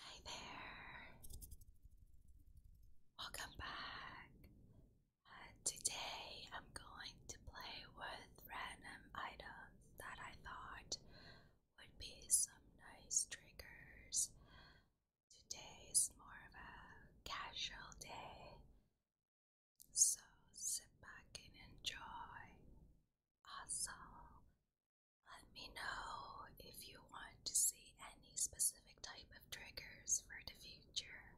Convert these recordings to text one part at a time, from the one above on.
Hi there. Welcome back. Uh, today I'm going to play with random items that I thought would be some nice triggers. Today is more of a casual day. So sit back and enjoy. Also, let me know if you want to see any specific type of triggers for the future.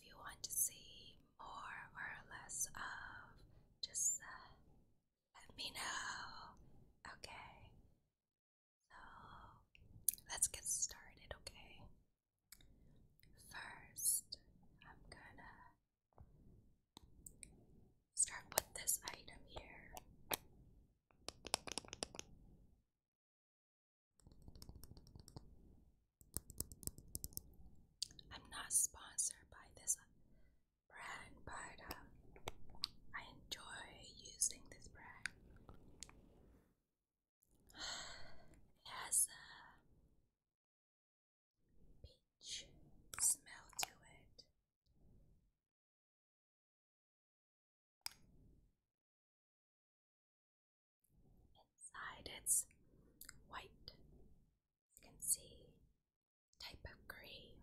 If you want to see more or less of, just let me know. Okay. So let's get started, okay? First, I'm gonna Start with this item here. I'm not sponsored by this brand, but um, I enjoy using this brand. It has a peach smell to it. Inside it's white. You can see type of green.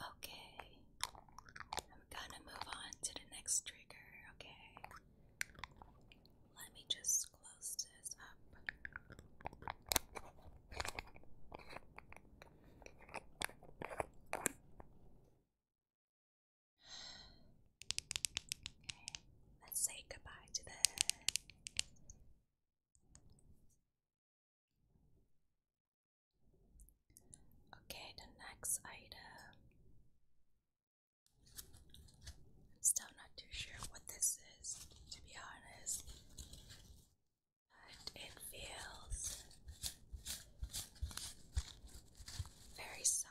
Okay, I'm gonna move on to the next trigger. Okay, let me just let's close this us say goodbye to the Okay, the next item Still not too sure what this is, to be honest. But it feels very soft.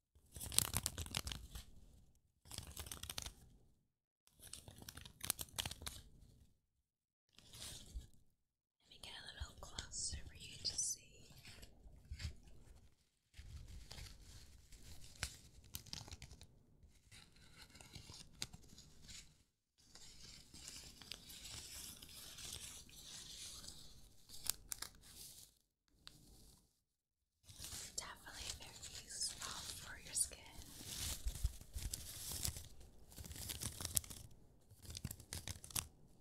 Let me get a little closer for you to see. Definitely very useful for your skin.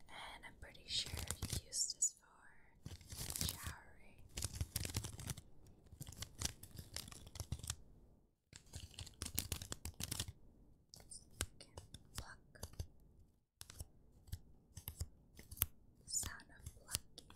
And I'm pretty sure you use for showering. You the sound of plucking.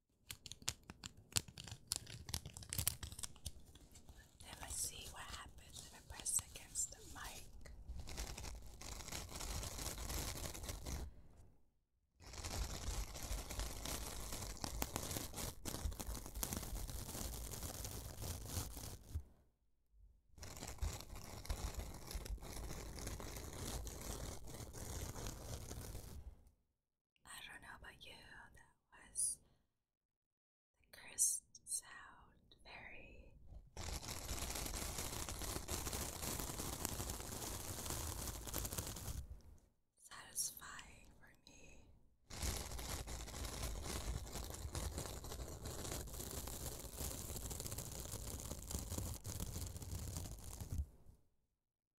Then let's see what happens if I press against the mic. I don't know about you, that was the crisp sound, very. Satisfying for me.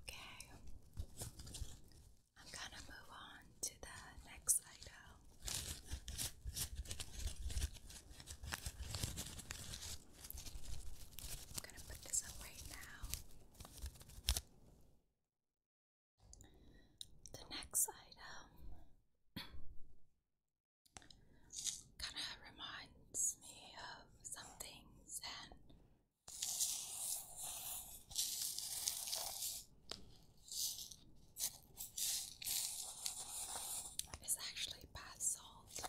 Okay, I'm gonna move on to the next item. I'm going to put this away now. The next item kind of reminds me of some things and it's actually bath salt.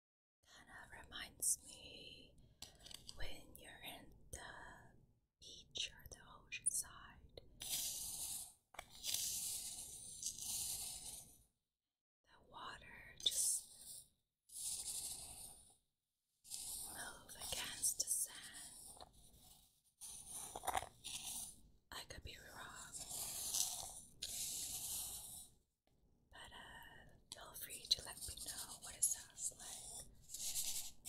Kind of uh, reminds me when you're in the beach or the ocean side. The water just move against the sand. I could be wrong. But uh, feel free to let me know what it sounds like. Now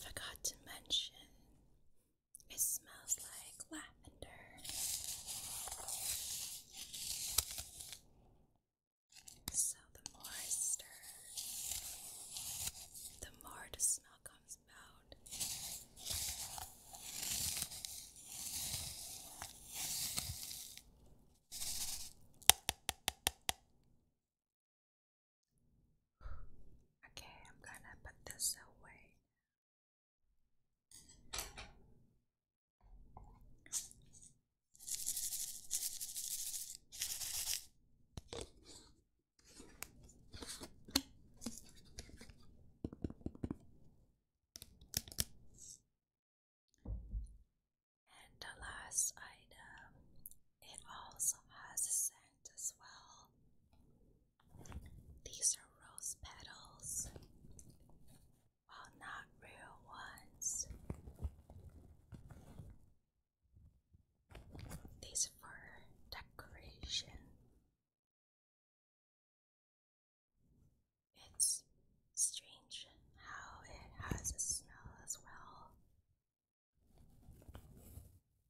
Forgot to mention it smells like lavender. So the more I stir, the more the smell comes out. Okay, I'm gonna put this away. And the last item, it also has a scent as well. These are rose petals, well, not real ones. These for decoration. It's strange how it has a smell as well.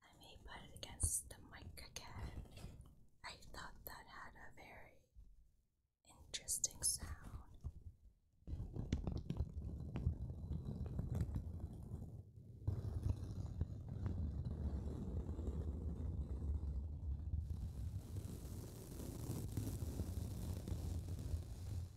I may put it against the mic again. I thought that had a very interesting sound.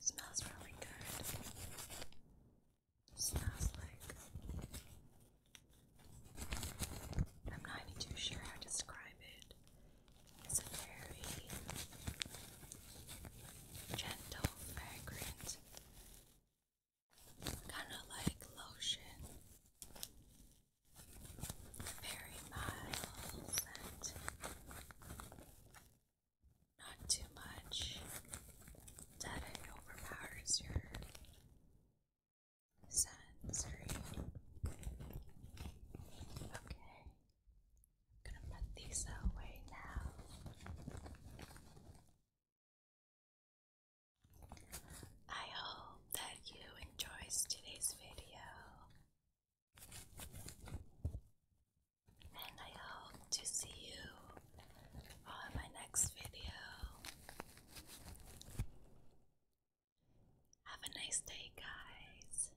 smells really good. Smells like I'm not even too sure how to describe it. It's a very gentle fragrance kind of like lotion, very mild scent, not too much that it overpowers your sensory. Okay, gonna put these away now. I hope that you enjoyed today's video, and I hope to see you on my next video. Have a nice day, guys.